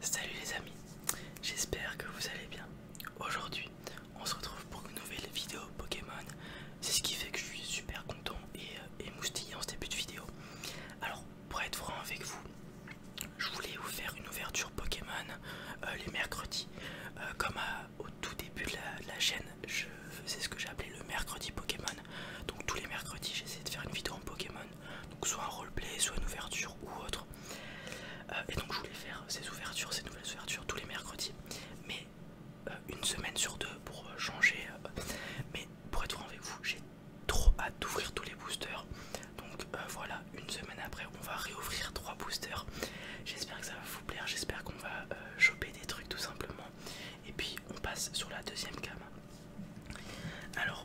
Salut les amis, j'espère que vous allez bien. Aujourd'hui, on se retrouve pour une nouvelle vidéo Pokémon. C'est ce qui fait que je suis super content et euh, moustillé en ce début de vidéo. Alors, pour être franc avec vous, je voulais vous faire une ouverture Pokémon euh, les mercredis. Euh, comme au tout début de la, chaîne, je faisais ce que j'appelais le mercredi Pokémon. Donc tous les mercredis, j'essayais de faire une vidéo en Pokémon donc soit un roleplay, soit une ouverture ou autre. Euh, et donc je voulais faire ces ouvertures, ces nouvelles ouvertures tous les mercredis, mais euh, une semaine sur deux pour euh, changer. mais pour être franc avec vous, j'ai trop hâte d'ouvrir tous les boosters. Donc voilà, une semaine après, on va réouvrir trois boosters. J'espère que ça va vous plaire, j'espère qu'on va choper des trucs tout simplement. Et puis on passe sur la deuxième gamme. Alors,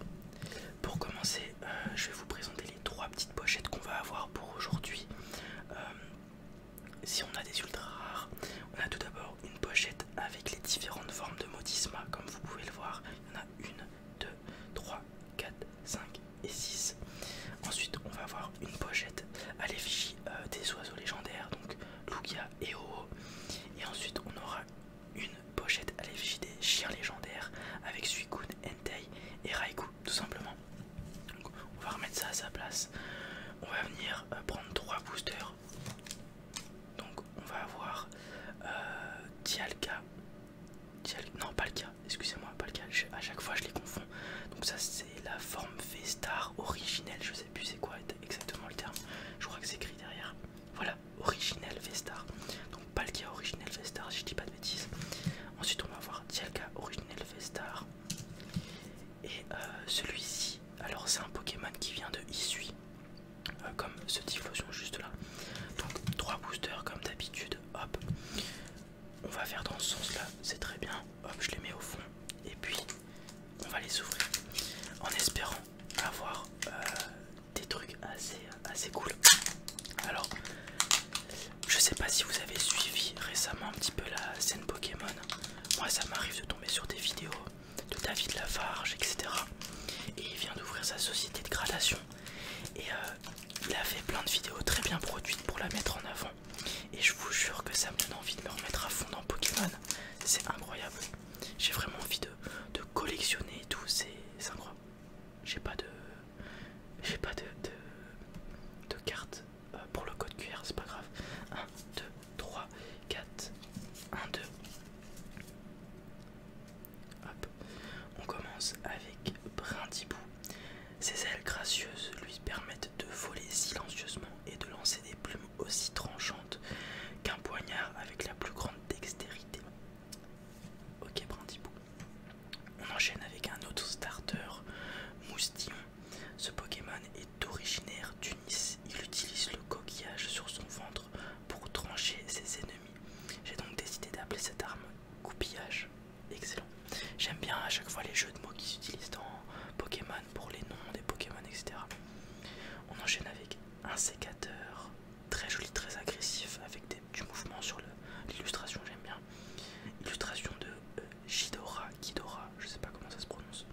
pour commencer, euh, je vais vous présenter les trois petites pochettes qu'on va avoir pour aujourd'hui. Euh, si on a des ultra rares, on a tout d'abord une pochette avec les différentes formes de modisma, comme vous pouvez le voir. Il y en a une, deux, trois, quatre, cinq et six. Ensuite, on va avoir une pochette à l'effigie euh, des oiseaux légendaires, donc Lugia et Oho. Et ensuite, on aura une pochette à l'effigie des avec Suicune, Entei et Raikou tout simplement. on va remettre ça à sa place. On va venir euh, prendre trois boosters. Donc on va avoir euh, Non pas le cas, excusez-moi, pas le cas, à chaque fois je les confonds. Donc ça c'est la forme V-Star originelle, je sais plus c'est quoi exactement le terme. Je crois que c'est écrit derrière. Voilà, original Vestar. Donc Palkia original Vestar, je dis pas de bêtises. Ensuite on va voir Dialga original Vestar. Et euh, celui-ci, alors c'est un Pokémon qui vient de Issui, euh, comme ce Typhlosion juste là. Donc trois boosters comme d'habitude. Hop. On va faire dans ce sens là, c'est très bien. Hop, je les mets au fond. Et puis on va les ouvrir. En espérant avoir euh, des trucs assez, assez cool. Alors, je sais pas si vous avez suivi récemment un petit peu la scène Pokémon. Moi, ça m'arrive de tomber sur des vidéos de David Lafarge, etc. Et il vient d'ouvrir sa société de gradation. Et euh, il a fait plein de vidéos très bien produites pour la mettre en avant. Et je vous jure que ça me donne envie de me remettre à fond dans Pokémon. C'est incroyable. J'ai vraiment envie de, collectionner tous ces c'est incroyable. J'ai pas de. J'ai pas de, de, carte euh, pour le code QR, c'est pas grave. 1, 2, 3, 4, 1, 2. Hop. On commence avec Brindibou. Ses ailes gracieuses lui permettent de voler silencieusement et de lancer des plumes aussi tranchante qu'un poignard avec la plus grande dextérité. Ok, Brandibo, On enchaîne avec un autre starter, Moustillon. Ce Pokémon est originaire d'Unis. Il utilise le coquillage sur son ventre pour trancher ses ennemis. J'ai donc décidé d'appeler cette arme coupillage. Excellent. J'aime bien à chaque fois les jeux de mots qui s'utilisent dans Pokémon pour les noms des Pokémon, etc. On enchaîne avec un sécateur très joli, très agressif, avec du mouvement sur l'illustration, j'aime bien. Illustration de euh, Gidora. Jidora, Kidora, je sais pas comment ça se prononce.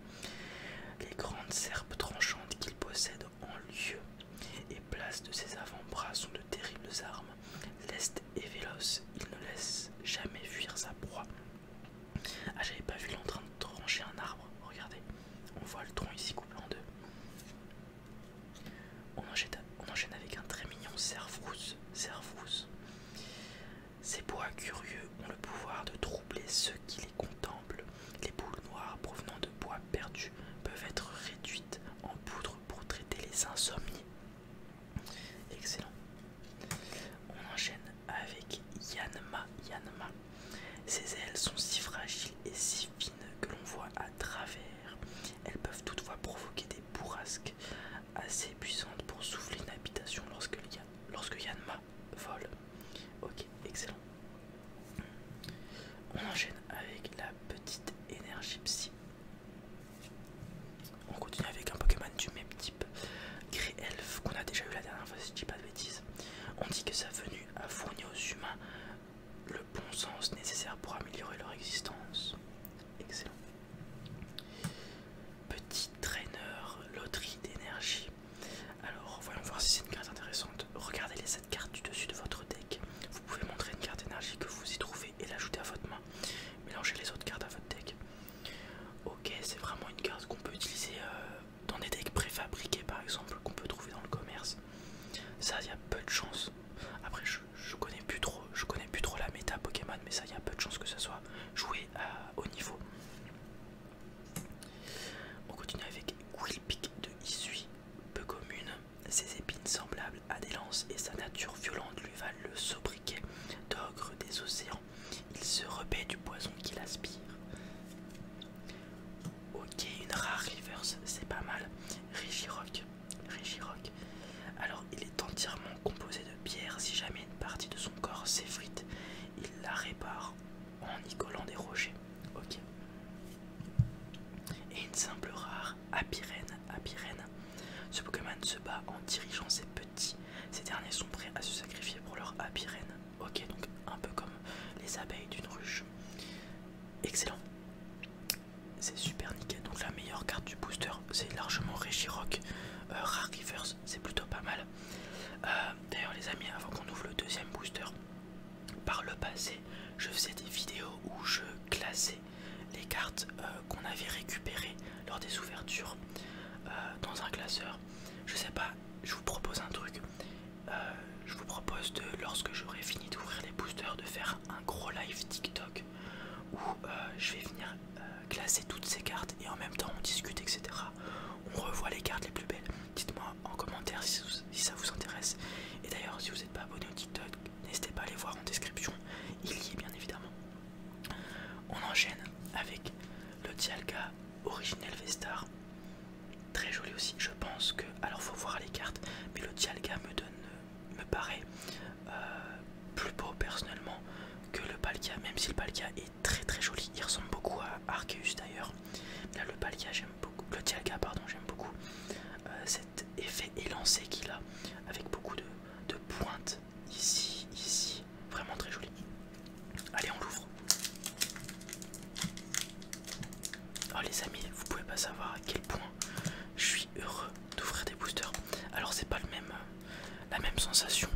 Les grandes serpes tranchantes qu'il possède en lieu et place de ses avant-bras sont de terribles armes. Leste et véloce, il ne laisse jamais fuir sa proie. Ah, j'avais pas vu train de trancher un arbre, regardez. On voit le tronc ici coupé en deux. On enchaîne, avec un très mignon Cerf Ces bois curieux ont le pouvoir de troubler ceux qui les contemplent. Les boules noires provenant de bois perdus peuvent être réduites en poudre pour traiter les insomnies. Excellent. On enchaîne avec Yanma. Yanma. Ces ailes sont si fragiles et si fines que l'on voit à travers. Elles peuvent toutefois provoquer des bourrasques assez puissantes pour souffler une habitation lorsque, lorsque Yanma vole. Ok, excellent. On enchaîne avec la petite énergie psy. On continue avec un Pokémon du même type, Grey Elf, qu'on a déjà eu la dernière fois si je dis pas de bêtises. On dit que sa venue a à aux humains le bon sens nécessaire pour améliorer leur existence. Excellent. Petit traîneur, loterie d'énergie. Alors, voyons voir si c'est une carte intéressante. Regardez les 7 cartes du dessus de votre deck. Vous pouvez montrer une carte d'énergie que vous y trouvez et l'ajouter à votre main. Mélangez les autres cartes à votre deck. Ok, c'est vraiment une carte qu'on peut utiliser euh, dans des decks préfabriqués par exemple qu'on peut trouver dans le commerce. Ça, il y a peu de chance. Après, je, connais plus trop, je connais plus trop la méta Pokémon, mais ça, y'a y a peu de chance que ça soit joué à haut niveau. On continue avec Willpick de Issui, peu commune. Ses épines semblables à des lances et sa nature violente lui valent le sobriquet d'ogre des océans. Il se repaie du poison qu'il aspire. Ok, une rare reverse, c'est pas mal. Rigirock. Rigirock. Alors, il est entièrement composé de pierre. Si jamais une partie de son corps s'effrite, il la répare en y collant des rochers. Ok. Et une simple rare apirène. Apirène. Ce Pokémon se bat en dirigeant ses petits. Ces derniers sont prêts à se sacrifier pour leur apirène. Ok, donc un peu comme les abeilles d'une ruche. Excellent. C'est super nickel. Donc la meilleure carte du booster, c'est largement Regirock. Euh, Rare Reverse, c'est plutôt pas mal. Euh, d'ailleurs les amis, avant qu'on ouvre le deuxième booster, par le passé, je faisais des vidéos où je classais les cartes euh, qu'on avait récupérées lors des ouvertures dans un classeur. Je sais pas je vous propose un truc. Euh, je vous propose de, lorsque j'aurai fini d'ouvrir les boosters, de faire un gros live TikTok où euh, je vais venir euh, classer toutes ces cartes et en même temps on discute, etc. On revoit les cartes les plus belles. Dites-moi en commentaire si, ça vous intéresse. Et d'ailleurs, si vous n'êtes pas abonné au TikTok, n'hésitez pas à aller voir en description. Il y est bien évidemment. On enchaîne avec le Dialga Original Vestar Très joli aussi. Je pense que. Alors faut voir les cartes, mais le Dialga me donne me paraît euh, plus beau personnellement que le Palkia, même si le Palkia est très très joli. Il ressemble beaucoup à Arceus d'ailleurs. Là le Palkia j'aime beaucoup. Le Dialga pardon j'aime beaucoup euh, cet effet élancé qu'il a avec beaucoup de, de pointes ici, ici Vraiment très joli. Allez, on l'ouvre. Oh les amis, vous pouvez pas savoir à quel point je suis heureux d'ouvrir des boosters. Alors c'est pas le même, euh, la même sensation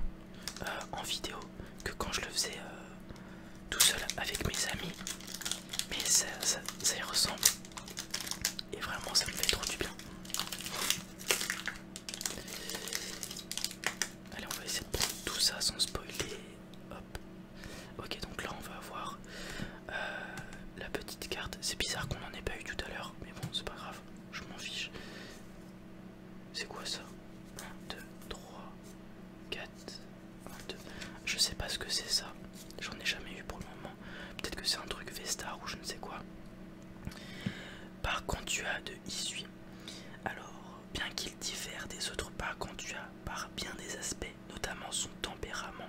euh, en vidéo que quand je le faisais euh, tout seul avec mes amis. Mais ça y ressemble. Et vraiment ça me fait trop du bien. Allez, on va essayer de prendre tout ça sans spoiler. Hop. Ok, donc là on va avoir euh, la petite carte. C'est bizarre qu'on en ait pas eu tout à l'heure, mais bon, c'est pas grave, je m'en fiche. C'est quoi ça 1, 2, 3, 4, 1, 2. Je sais pas ce que c'est ça, j'en ai jamais eu pour le moment. Peut-être que c'est un truc Vesta ou je ne sais quoi. Par contre, tu as de Isui. Alors, bien qu'il diffère des autres as par bien des aspects, notamment son tempérament,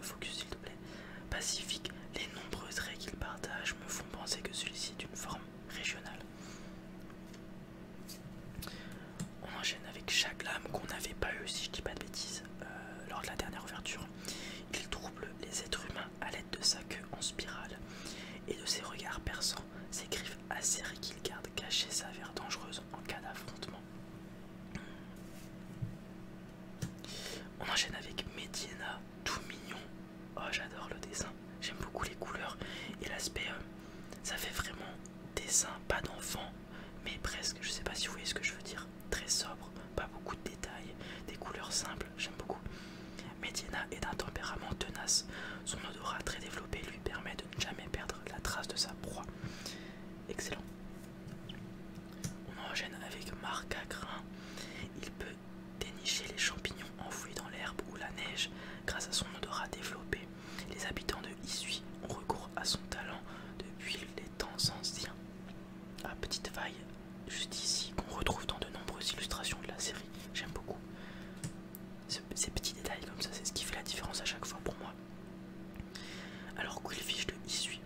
focus s'il te plaît, pacifique, les nombreux traits qu'il partage me font penser que celui-ci est d'une forme régionale. On enchaîne avec chaque lame qu'on n'avait pas eu, si je dis pas de bêtises, euh, lors de la dernière ouverture. Il trouble les êtres humains à l'aide de sa queue en spirale et de ses regards perçants ses griffes acérées qu'il garde cachées sa dangereuses dangereuse en cas d'affrontement. On enchaîne avec Medina, tout mignon. Oh, j'adore le dessin, j'aime beaucoup les couleurs et l'aspect. Euh, ça fait vraiment dessin, pas d'enfant, mais presque. Je sais pas si vous voyez ce que je veux dire. Très sobre, pas beaucoup de détails, des couleurs simples, j'aime beaucoup. Medina est d'un tempérament tenace. Son odorat très développé lui permet de ne jamais perdre la trace de sa proie. Excellent. On en gêne avec Marc à Il peut dénicher les champignons enfouis dans l'herbe ou la neige grâce à son odorat développé. Les habitants de Issui ont recours à son talent depuis les temps anciens. À petite faille, juste ici, qu'on retrouve dans de nombreuses illustrations de la série. J'aime beaucoup. Ces petits détails comme ça, c'est ce qui fait la différence à chaque fois pour moi. Alors Quillfish de Issui.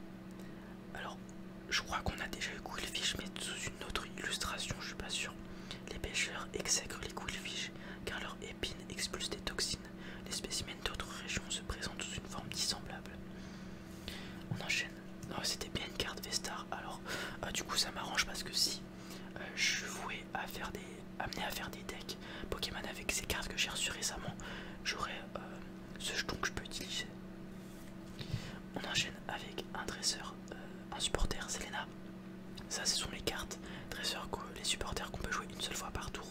Alors je crois qu'on a déjà eu Quillfish mais sous une autre illustration, je suis pas sûr. Les pêcheurs exègrent les Quillfish car leurs épines expulsent des toxines. Les spécimens d'autres régions se présentent sous une forme dissemblable. On enchaîne. Non, c'était bien une carte Vestar. Alors euh, du coup ça m'arrange parce que si euh, je suis voué à faire des amené à faire des decks Pokémon avec ces cartes que j'ai reçues récemment. J'aurai euh, ce jeton que je peux utiliser. On enchaîne avec un dresseur, euh, un supporter, Selena. Ça, ce sont les cartes les supporters qu'on peut jouer une seule fois par tour.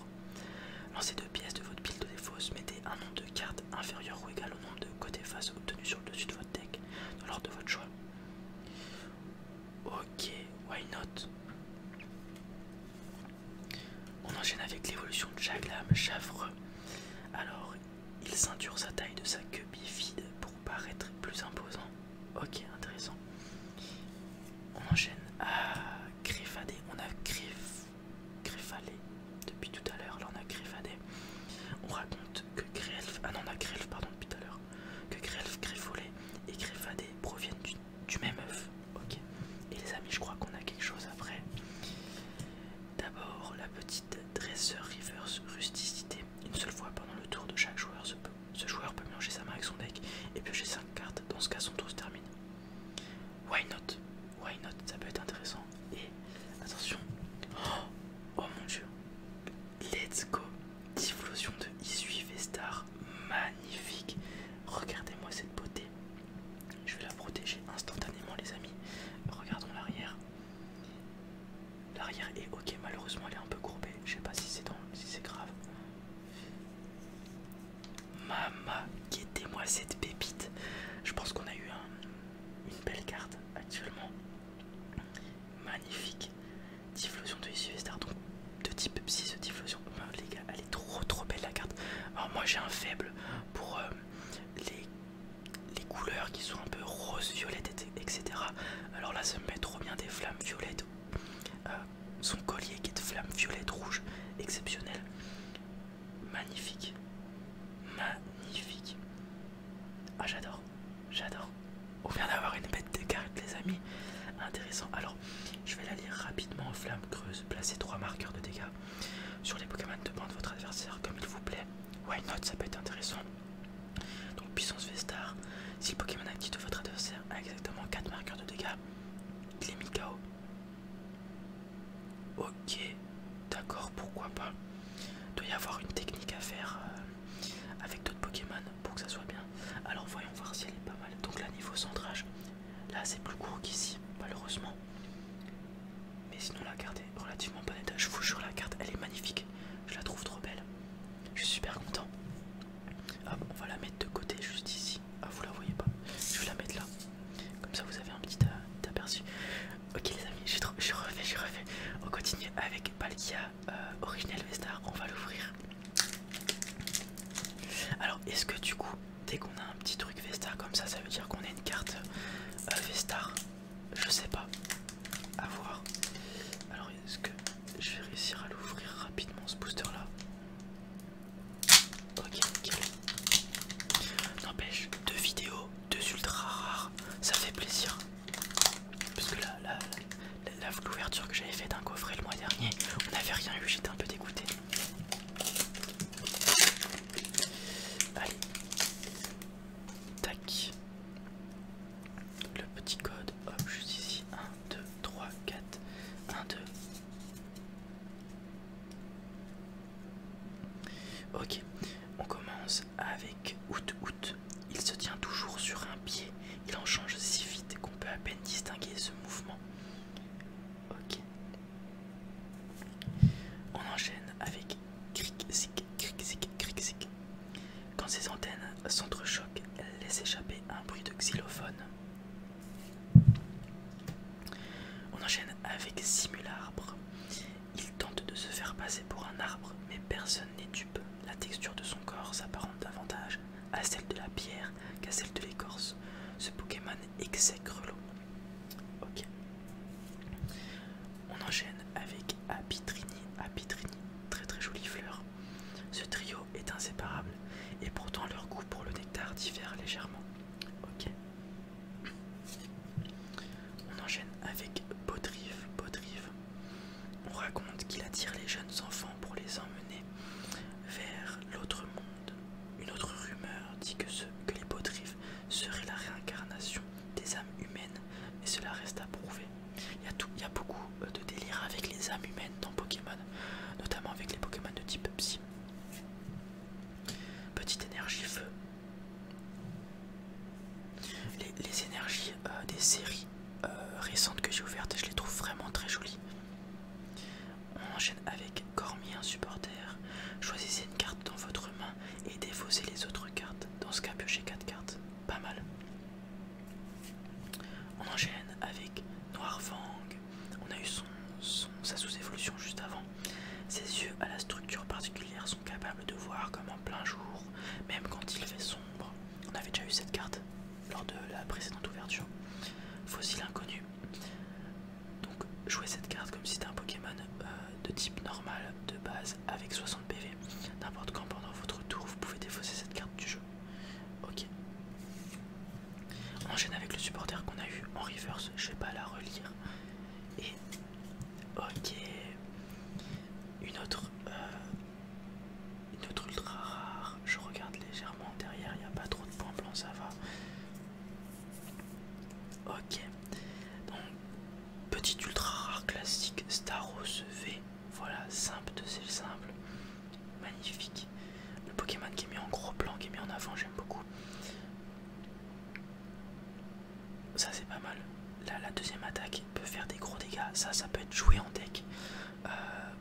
Lancez deux pièces de votre pile de défauts, mettez un nombre de cartes inférieur ou égal au nombre de côtés face obtenus sur le dessus de votre deck, dans l'ordre de votre choix. Ok, why not On enchaîne avec l'évolution de Jaglam Chavreux. Alors, il ceinture sa taille de sa queue bifide pour paraître plus imposant. Ok, intéressant. On enchaîne à Greffadé. On a greffalé depuis tout à l'heure, là on a Greffadé. On raconte que Grelf, ah non, on a pardon, depuis tout à l'heure, que Grelf, Greffolet et Greffadé proviennent du, même œuf. Ok. Et les amis, je crois qu'on a quelque chose après. D'abord, la petite dresser reverse rusticité. Une seule fois pendant le tour de chaque joueur, ce, joueur peut mélanger sa main avec son deck et piocher 5 cartes. Dans ce cas, son tour se termine. Why not Why not Ça peut être intéressant. Et attention. oh, oh mon dieu. Let's go Diffusion de Issue Vestar, magnifique Regardez-moi cette beauté. Je vais la protéger instantanément les amis. Regardons l'arrière. L'arrière est ok, malheureusement elle est un peu courbée. Je sais pas si c'est si c'est grave. Mama, guettez-moi cette pépite. Je pense qu'on a eu une belle carte actuellement. Magnifique. Diffusion de Sylvester, donc de type 6 diffusion. les gars, elle est trop trop belle la carte. Alors moi j'ai un faible pour euh, les, couleurs qui sont un peu rose, violette, etc. Alors là ça me met trop bien des flammes violettes. Euh, son collier qui est de flammes violettes, rouge, exceptionnel. Magnifique. Magnifique. Ah j'adore, j'adore. On vient d'avoir une bête de cartes les amis. Intéressant. Alors je vais la lire rapidement. en Flamme creuse, placez 3 marqueurs de dégâts sur les Pokémon de bande de votre adversaire comme il vous plaît. Why not, ça peut être intéressant. Donc puissance V-star, si le Pokémon actif de votre adversaire a exactement 4 marqueurs de dégâts, il est Ok, d'accord, pourquoi pas doit y avoir une technique à faire euh, avec d'autres Pokémon pour que ça soit bien. Alors voyons voir si elle est pas mal. Donc là niveau centrage, là c'est plus court qu'ici, malheureusement. Mais sinon la carte est relativement bonne Je vous jure la carte, elle est magnifique. Je la trouve trop belle. Je suis super content. Hop, on va la mettre de côté juste ici. Ah vous la voyez pas. Je vais la mettre là. Comme ça vous avez un petit euh, aperçu. Ok les amis, je, refait, refais, je On continue avec Palkia euh, Original Vestar, on va l'ouvrir. Alors est-ce que du coup, dès qu'on a un petit truc Vestar comme ça, ça veut dire qu'on a une carte euh, Vestar Je sais pas. A voir. Alors est-ce que je vais réussir à l'ouvrir rapidement ce booster là Ok, N'empêche, deux vidéos, deux ultra rares, ça fait plaisir. Parce que là, l'ouverture que j'avais fait d'un coffret le mois dernier, on n'avait rien eu, j'étais un peu dégoûté. Allez. Tac. Le petit code, hop, juste ici. 1, 2, 3, 4. 1, 2. Ok, on commence avec out out. Il se tient toujours sur un pied. Il en change si vite qu'on peut à peine distinguer ce mouvement. Ok. On enchaîne avec cric zic cric zik cric zic. Quand ses antennes s'entrechoquent, elles laissent échapper un bruit de xylophone. On enchaîne avec simularbre. Il tente de se faire passer pour un arbre, mais personne n'est dupe. La texture de son corps s'apparente davantage à celle de la pierre qu'à celle de l'écorce. Ce Pokémon exècre l'eau. Ok. On enchaîne avec Apitrini. Apitrini, très très jolie fleur. Ce trio est inséparable et pourtant leur goût pour le nectar diffère légèrement. Ok. On enchaîne avec Potrive. Potrive. on raconte qu'il attire les jeunes enfants pour les emmener vers l'autre monde. Une autre rumeur dit que, ce, que les Botrives seraient la réincarnation des âmes humaines, mais cela reste à prouver. Il y, a il y a beaucoup euh, de délire avec les âmes humaines dans Pokémon, notamment avec les Pokémon de type Psy. Petite énergie feu, les, énergies euh, des séries euh, récentes que j'ai ouvertes, je les trouve vraiment très jolies. On enchaîne avec Cormier, un supporter. Choisissez une carte dans votre main et défaussez les autres cartes. Dans ce cas, piochez 4 cartes. Pas mal. On enchaîne avec Noir On a eu sa sous-évolution juste avant. Ses yeux à la structure particulière capable de voir comme en plein jour, même quand il fait sombre. On avait déjà eu cette carte lors de la précédente ouverture. Fossile inconnu. Donc jouer cette carte comme si c'était un Pokémon euh, de type normal de base avec 60 PV. N'importe quand pendant votre tour, vous pouvez défausser cette carte du jeu. Ok. On enchaîne avec le supporter qu'on a eu en reverse, je vais pas la relire. Et Ok. Une autre, euh, autre ultra rare. Je regarde légèrement derrière, il n'y a pas trop de points blancs, ça va. Ok. Donc, petite ultra rare classique, Staros V. Voilà, simple de celle simple. Magnifique. Le Pokémon qui est mis en gros plan, qui est mis en avant, j'aime beaucoup. Ça c'est pas mal. Là la deuxième attaque peut faire des gros dégâts. Ça ça peut être joué en deck. Euh,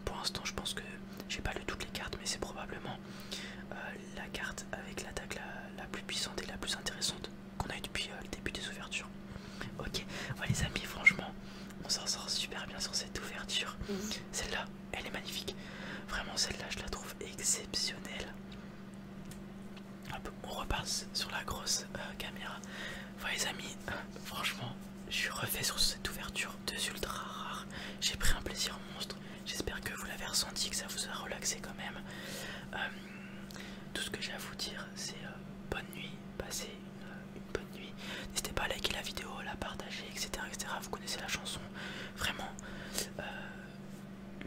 pour l'instant je pense que j'ai pas lu toutes les cartes mais c'est probablement euh, la carte avec l'attaque la, plus puissante et la plus intéressante qu'on a eu depuis euh, le début des ouvertures. Ok, ouais, les amis franchement on s'en sort super bien sur cette ouverture. Mhm. Celle-là, elle est magnifique. Vraiment celle-là je la trouve exceptionnelle on repasse sur la grosse euh, caméra. Voilà les amis, euh, franchement, je suis refait sur cette ouverture de ultra rare. J'ai pris un plaisir monstre. J'espère que vous l'avez ressenti, que ça vous a relaxé quand même. Euh, tout ce que j'ai à vous dire, c'est bonne nuit, passez une, bonne nuit. N'hésitez pas à liker la vidéo, la partager, etc., etc. Vous connaissez la chanson, vraiment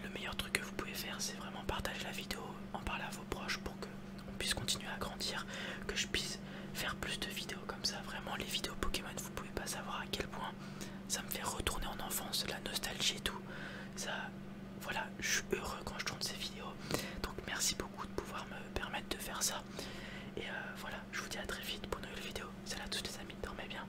le meilleur truc que vous pouvez faire, c'est vraiment partager la vidéo, en parler à vos proches pour que on puisse continuer à grandir, que je puisse faire plus de vidéos comme ça. Vraiment, les vidéos Pokémon, vous pouvez pas savoir à quel point ça me fait retourner en enfance, la nostalgie et tout. Ça, voilà, je suis heureux quand je tourne ces vidéos. Donc merci beaucoup de pouvoir me permettre de faire ça. Et euh, voilà, je vous dis à très vite pour une nouvelle vidéo. Salut à tous les amis, dormez bien.